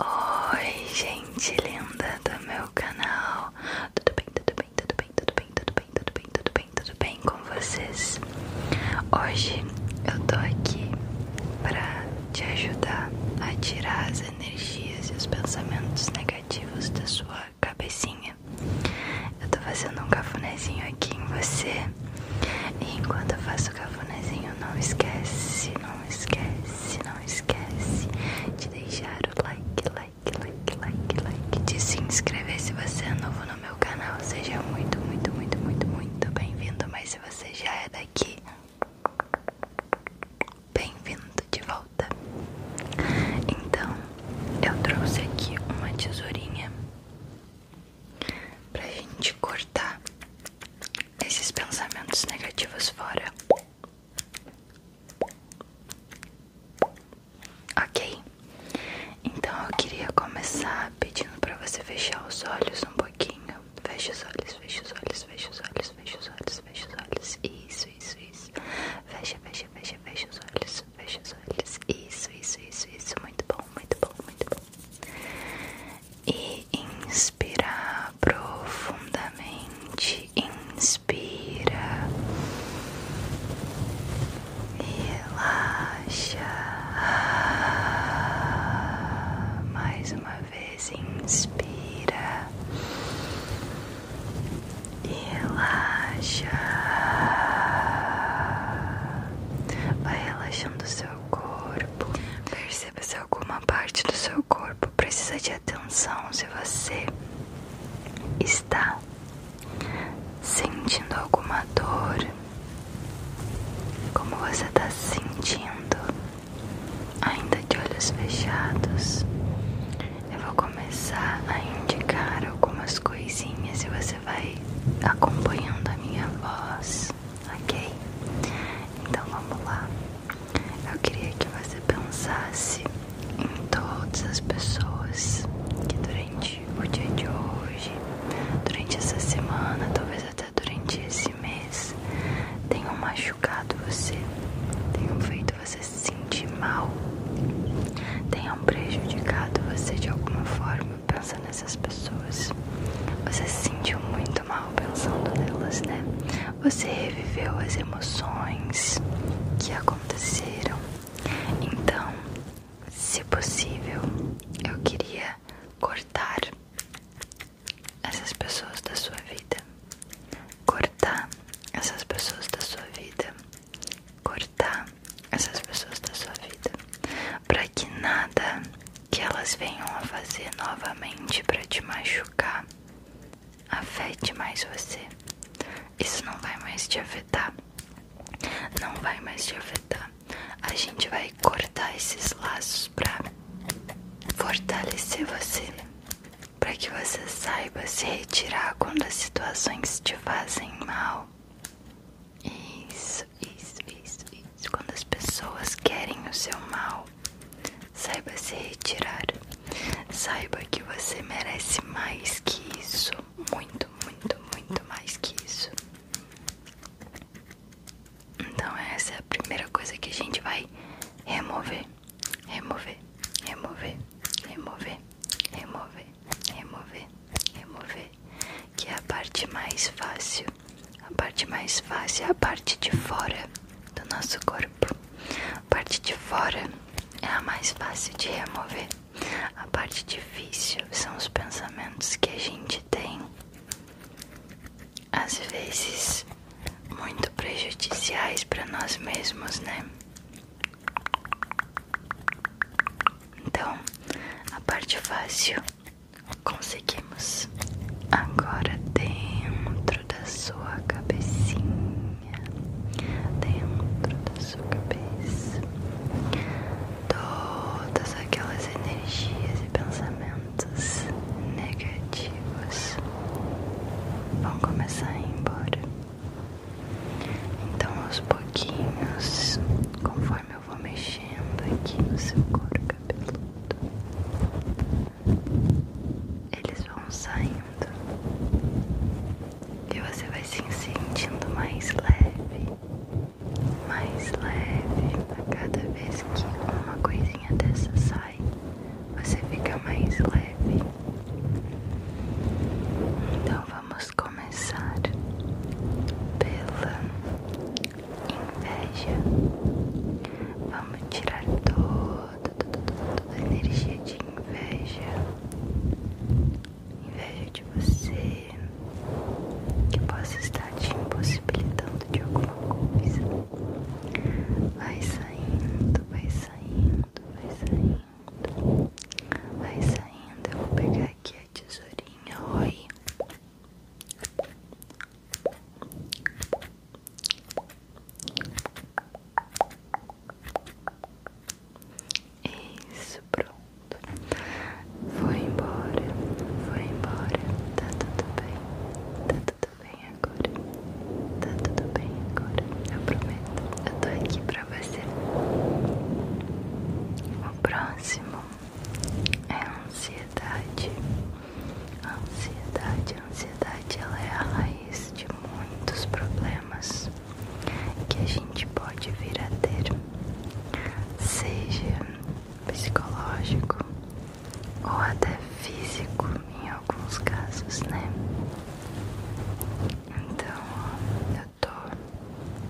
Oi, gente linda do meu canal. Tudo bem, tudo bem, tudo bem, tudo bem, tudo bem, tudo bem, tudo bem, tudo bem com vocês? Hoje eu tô aqui para te ajudar a tirar as energias e os pensamentos negativos da sua cabecinha. Eu tô fazendo um cafunézinho aqui em você. E enquanto eu faço o cafunézinho, não esquece, não esquece, não esquece de deixar o like, like, like, like, like, de se inscrever se você é novo no meu canal. Seja muito, muito, muito, muito, muito bem-vindo. Mas se você já é daqui, bem-vindo de volta. Então, eu trouxe aqui uma tesourinha pra gente cortar esses pensamentos negativos fora. Ok? Então eu queria começar pedindo para você fechar os olhos um pouquinho. Fecha os olhos, fecha os olhos, fecha os olhos, fecha os olhos, fecha os olhos. Isso, isso, isso. Fecha, fecha, fecha, fecha os olhos, fecha os olhos. Isso, isso, isso, isso. Muito bom, muito bom, muito bom. E vai inspirar profundamente. Inspira. e Relaxa. Mais uma vez, inspira. e Relaxa. Vai relaxando o seu corpo. Perceba seu alguma parte do seu corpo precisa de atenção, se você está sentindo alguma dor, como você está sentindo, ainda de olhos fechados, eu vou começar a indicar algumas coisinhas e você vai acompanhando a minha voz. Ok? Então vamos lá. Eu queria que você pensasse em todas as pessoas que durante o dia de hoje, durante essa semana, talvez até durante esse mês, tenham machucado você, tenham feito você se sentir mal, tenham prejudicado você de alguma forma. Pensa nessas pessoas. Você sentiu muito mal pensando nelas, né? Você reviveu as emoções que aconteceram. Então, se possível, eu queria cortar essas pessoas da sua vida. Cortar essas pessoas da sua vida. Cortar essas pessoas da sua vida. Para que nada que elas venham a fazer novamente para te machucar, afete mais você. Isso não vai mais te afetar. Não vai mais te afetar. A gente vai cortar esses laços para fortalecer você, para que você saiba se retirar quando as situações te fazem mal. Isso. Isso, isso, isso, isso. Quando as pessoas querem o seu mal, saiba se retirar. Saiba que você merece mais que isso. Muito, muito, muito mais que isso. Então, essa é a primeira coisa que a gente vai remover. Remover, remover, remover, remover, remover, remover. Que é a parte mais fácil a parte mais fácil é a parte de fora do nosso corpo. A parte de fora é a mais fácil de remover. A parte difícil são os pensamentos que a gente tem, às vezes muito prejudiciais para nós mesmos, né? Então, a parte fácil Conseguimos. Agora dentro da sua cabecinha, dentro da sua cabeça, todas aquelas energias e pensamentos negativos vão começar a ir embora. Então aos pouquinhos, conforme eu vou mexendo aqui no seu corpo, cabeludo, eles vão saindo e você vai se sentindo mais leve, mais leve. A cada vez que uma coisinha dessa sai, você fica mais leve. Então vamos começar pela inveja. Vamos tirar toda, toda, toda, toda a energia de inveja. Inveja de você que possa estar te impossibilitando de alguma coisa. Vai saindo, vai saindo, vai saindo. Vai saindo. Eu vou pegar aqui a tesourinha. Oi. Isso, pronto. Foi embora, foi embora. Tá tudo bem, tá tudo bem agora. Tá tudo bem agora. Eu prometo, eu tô aqui pra você. O próximo é a ansiedade. A ansiedade, a ansiedade ela é a raiz de muitos problemas que a gente pode vir a ter, seja psicológico ou até físico em alguns casos, né? Então eu tô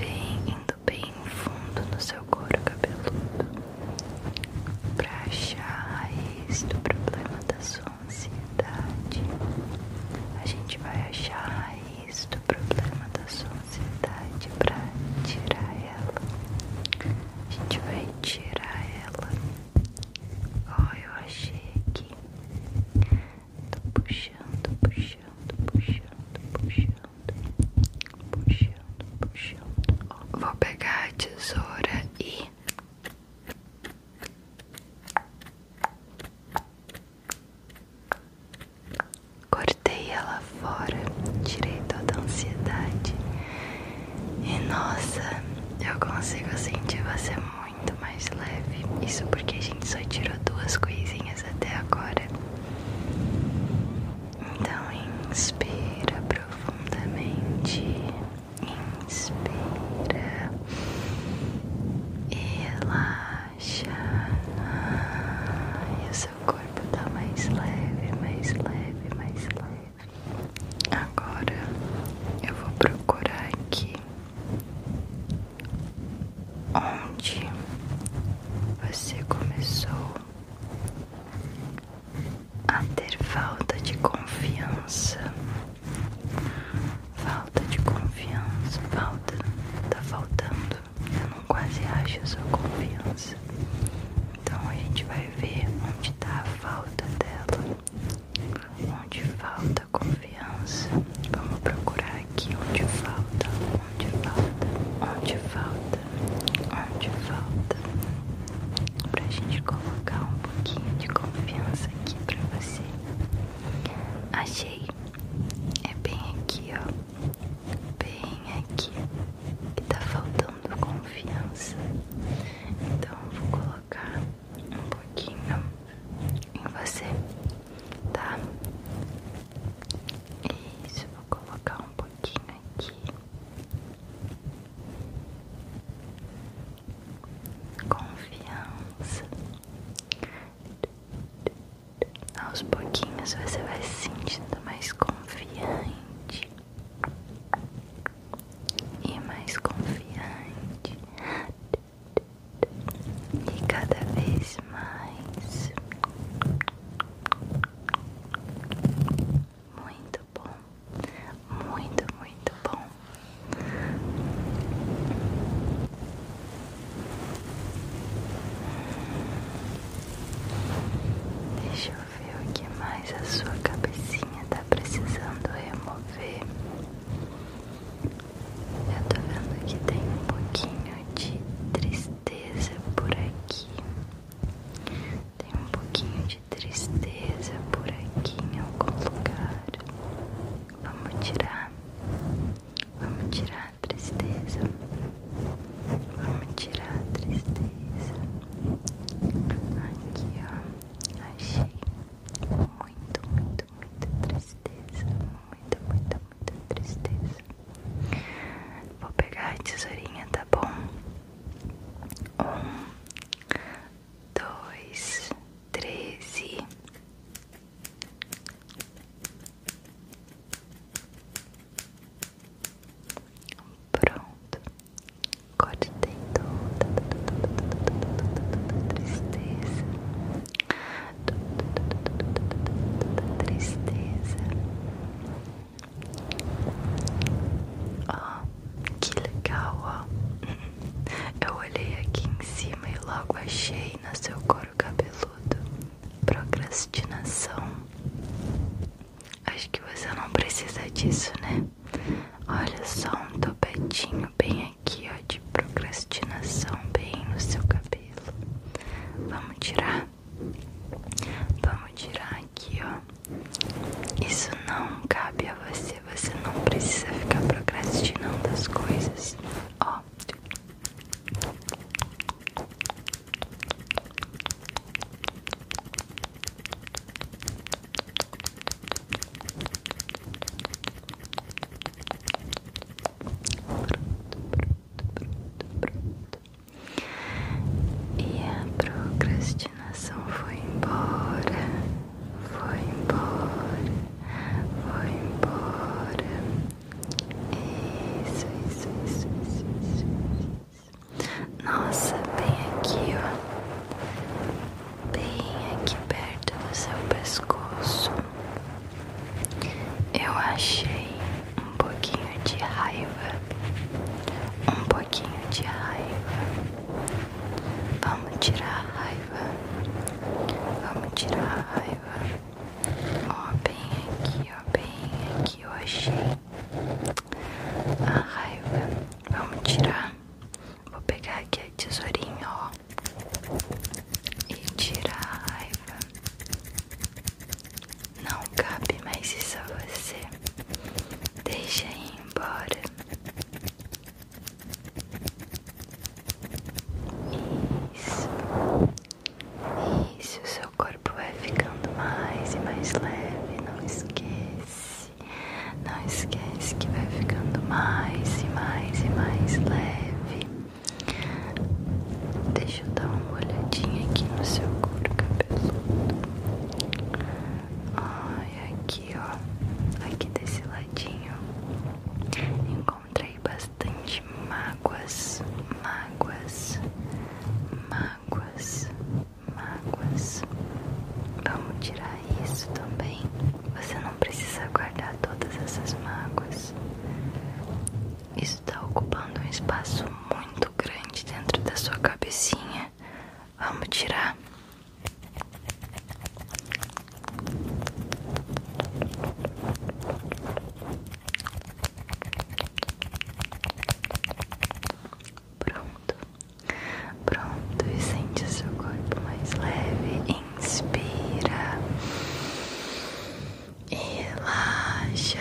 bem indo bem fundo no seu couro cabeludo para achar a raiz do problema da sua ansiedade. A gente vai achar a raiz do problema da sua ansiedade para tirar ela. A gente vai tirar ela. Ó, eu achei aqui. Tô puxando, puxando, puxando, puxando vou pegar a tesoura e cortei ela fora, tirei toda a ansiedade. E nossa, eu consigo sentir você muito mais leve. Isso porque a gente só tirou duas coisinhas até agora. Então inspira profundamente, inspira e relaxa. E o seu corpo tá mais leve, mais leve, mais leve. Agora eu vou procurar aqui onde você começou a ter falta de confiança, falta de confiança, falta, tá faltando, eu não quase acho a sua confiança, então a gente vai ver onde tá a falta dela, onde falta confiança, vamos procurar aqui onde falta Onde falta, onde falta, onde falta Pra gente colocar um pouquinho de confiança aqui pra você Achei, é bem aqui ó, bem aqui Que tá faltando confiança Então vou colocar um pouquinho em você, tá? Isso, vou colocar um pouquinho pouquinho né, aqui. Confiança. Aos pouquinhos você vai se sentindo mais confiante e mais confiante e cada vez mais muito bom, muito, muito bom. Deixa eu ver o que mais a sua cabecinha está precisando remover. Eu tô vendo que tem um pouquinho de tristeza tristeza por aqui, tem um pouquinho de tristeza por aqui em algum lugar. Vamos tirar, vamos tirar a tristeza, vamos tirar a tristeza. Aqui ó, achei muito, muito, muita tristeza, muita, muita, muita tristeza. Vou pegar a tesourinha, tá bom? Um, dois, treze. Pronto, cortei toda tristeza, tristeza, Ó, ah, que legal, ó. Eu olhei aqui em cima e logo achei no seu couro cabeludo. Procrastinação. Acho que você não precisa disso, né? Olha só um topetinho bem aqui, ó, de procrastinação, bem no seu cabelo. Vamos tirar? Vamos tirar aqui, ó. Isso não cabe a você. Você não precisa ficar procrastinando as coisas. Ó. E a procrastinação foi embora, foi embora, foi embora. Isso, isso, isso, isso, isso. isso. Nossa, bem aqui, ó. Bem aqui perto do seu pescoço. Eu achei um pouquinho de raiva, um pouquinho de raiva. Vamos tirar a raiva, vamos tirar a raiva. Ó, bem aqui, ó, bem aqui. Eu achei a raiva. Vamos tirar. Vou pegar aqui a tesourinha, ó, e tirar a raiva. Não cabe mais isso a você. Deixa ir embora. Isso. Isso, seu corpo vai ficando mais e mais leve. Não esquece. Não esquece que vai ficando mais e mais e mais leve. Deixa eu dar uma olhadinha aqui no seu couro cabeludo. Ai, aqui ó, aqui desse ladinho, encontrei bastante mágoas, mágoas, mágoas, mágoas. Vamos tirar isso também. Você não precisa guardar todas essas mágoas está ocupando um espaço muito grande dentro da sua cabecinha. Vamos tirar. Pronto, pronto, e sente o seu corpo mais leve. Inspira relaxa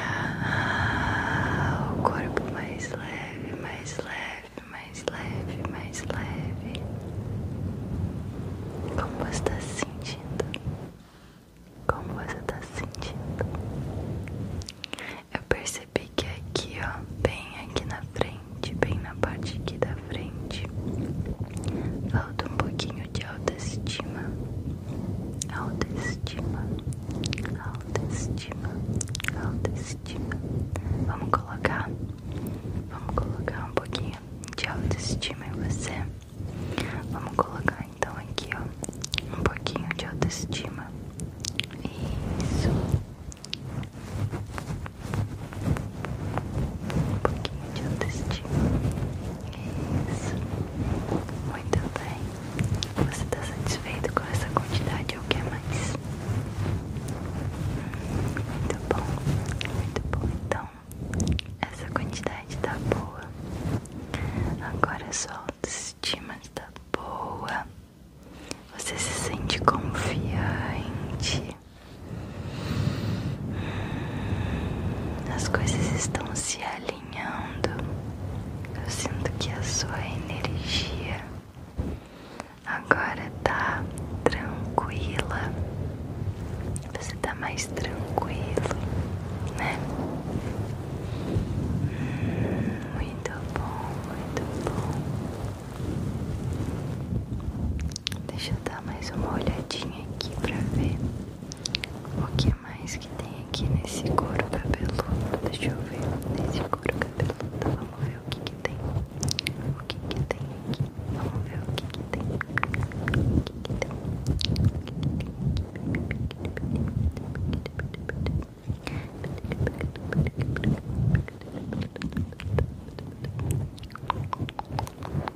o corpo mais leve, mais leve, mais leve, mais leve. Como você está sentindo? Como você está sentindo? Eu percebi que aqui, ó, bem aqui na frente, bem na parte aqui da frente, falta um pouquinho de alto autoestima, autoestima, autoestima, autoestima. Vamos colocar, vamos colocar um pouquinho de autoestima em você. Vamos colocar então aqui, ó, um pouquinho de autoestima. Isso. Um pouquinho de autoestima. Isso. Muito bem. Você está satisfeito com essa quantidade ou que mais? Muito bom. Muito bom. Então, essa quantidade está boa. Agora sua autoestima está boa. Você se sente confiante. As coisas estão se alinhando. Eu sinto que a sua energia agora tá tranquila. Você tá mais tranquilo, né? Hum, muito bom, muito bom. Deixa eu dar mais uma olhadinha aqui pra ver. O que mais que tem aqui nesse couro cabeludo? Deixa eu ver. Nesse couro cabeludo, tá? vamos ver o que que tem. O que que tem aqui? Vamos ver o que que tem. O que que tem? O que que tem aqui?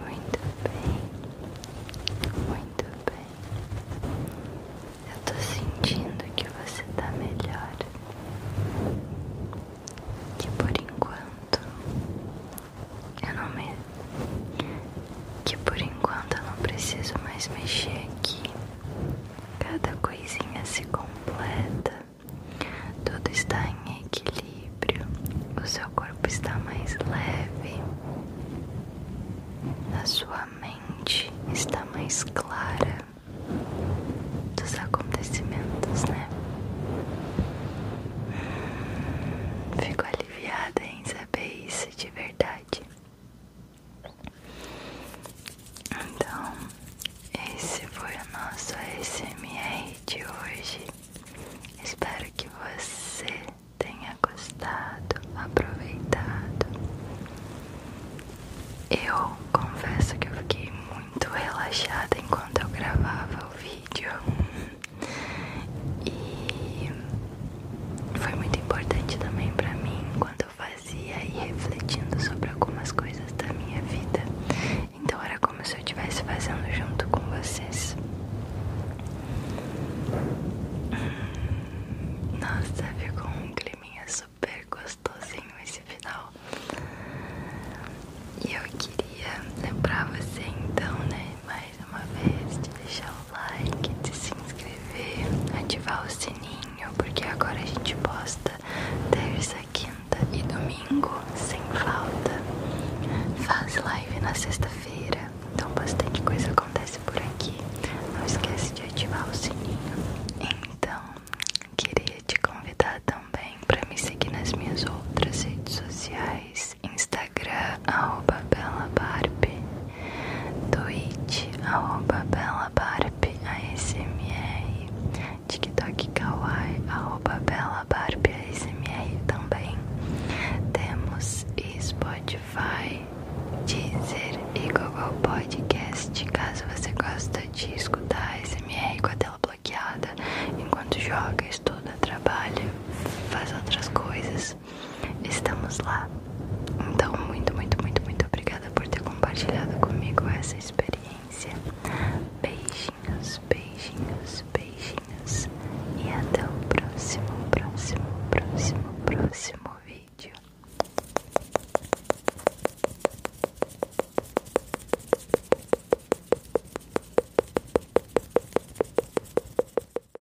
Muito bem, muito bem. Eu tô sentindo que você está melhor. Que por enquanto eu não me que por enquanto eu não preciso mais mexer aqui. Cada coisinha se completa, tudo está em equilíbrio, o seu corpo está mais leve, a sua mente está mais clara dos acontecimentos, né? fico aliviada em saber isso de verdade. Então, esse foi o nosso ASMR de hoje. Espero que você tenha gostado, aproveitado. Eu confesso que eu fiquei muito relaxada enquanto eu gravava o vídeo. E foi muito importante também para mim quando eu fazia e refletindo sobre algumas coisas da minha vida. Então era como se eu estivesse fazendo junto com vocês. Hum, nossa, ficou um climinha super gostosinho esse final. E eu queria lembrar você então, né? Mas mais uma vez de deixar o like, de se inscrever, ativar o sininho, porque agora a gente posta terça, quinta e domingo sem falta. Faz live na sexta-feira, então bastante coisa acontece por aqui. Não esquece de ativar o sininho. Então, queria te convidar também para me seguir nas minhas outras redes sociais, Instagram. Instagram, arroba Bela Barbie, Twitch, arroba Bela Barbie ASMR, TikTok Kawaii, arroba Bela Barbie ASMR também. Temos Spotify, Deezer e Google Podcast, caso você gosta de escutar SMR com a tela bloqueada enquanto joga, estuda, trabalha, faz outras coisas estamos lá. Então, muito, muito, muito, muito obrigada por ter compartilhado comigo essa experiência. Beijinhos, beijinhos, beijinhos. E até o próximo, próximo, próximo, próximo vídeo.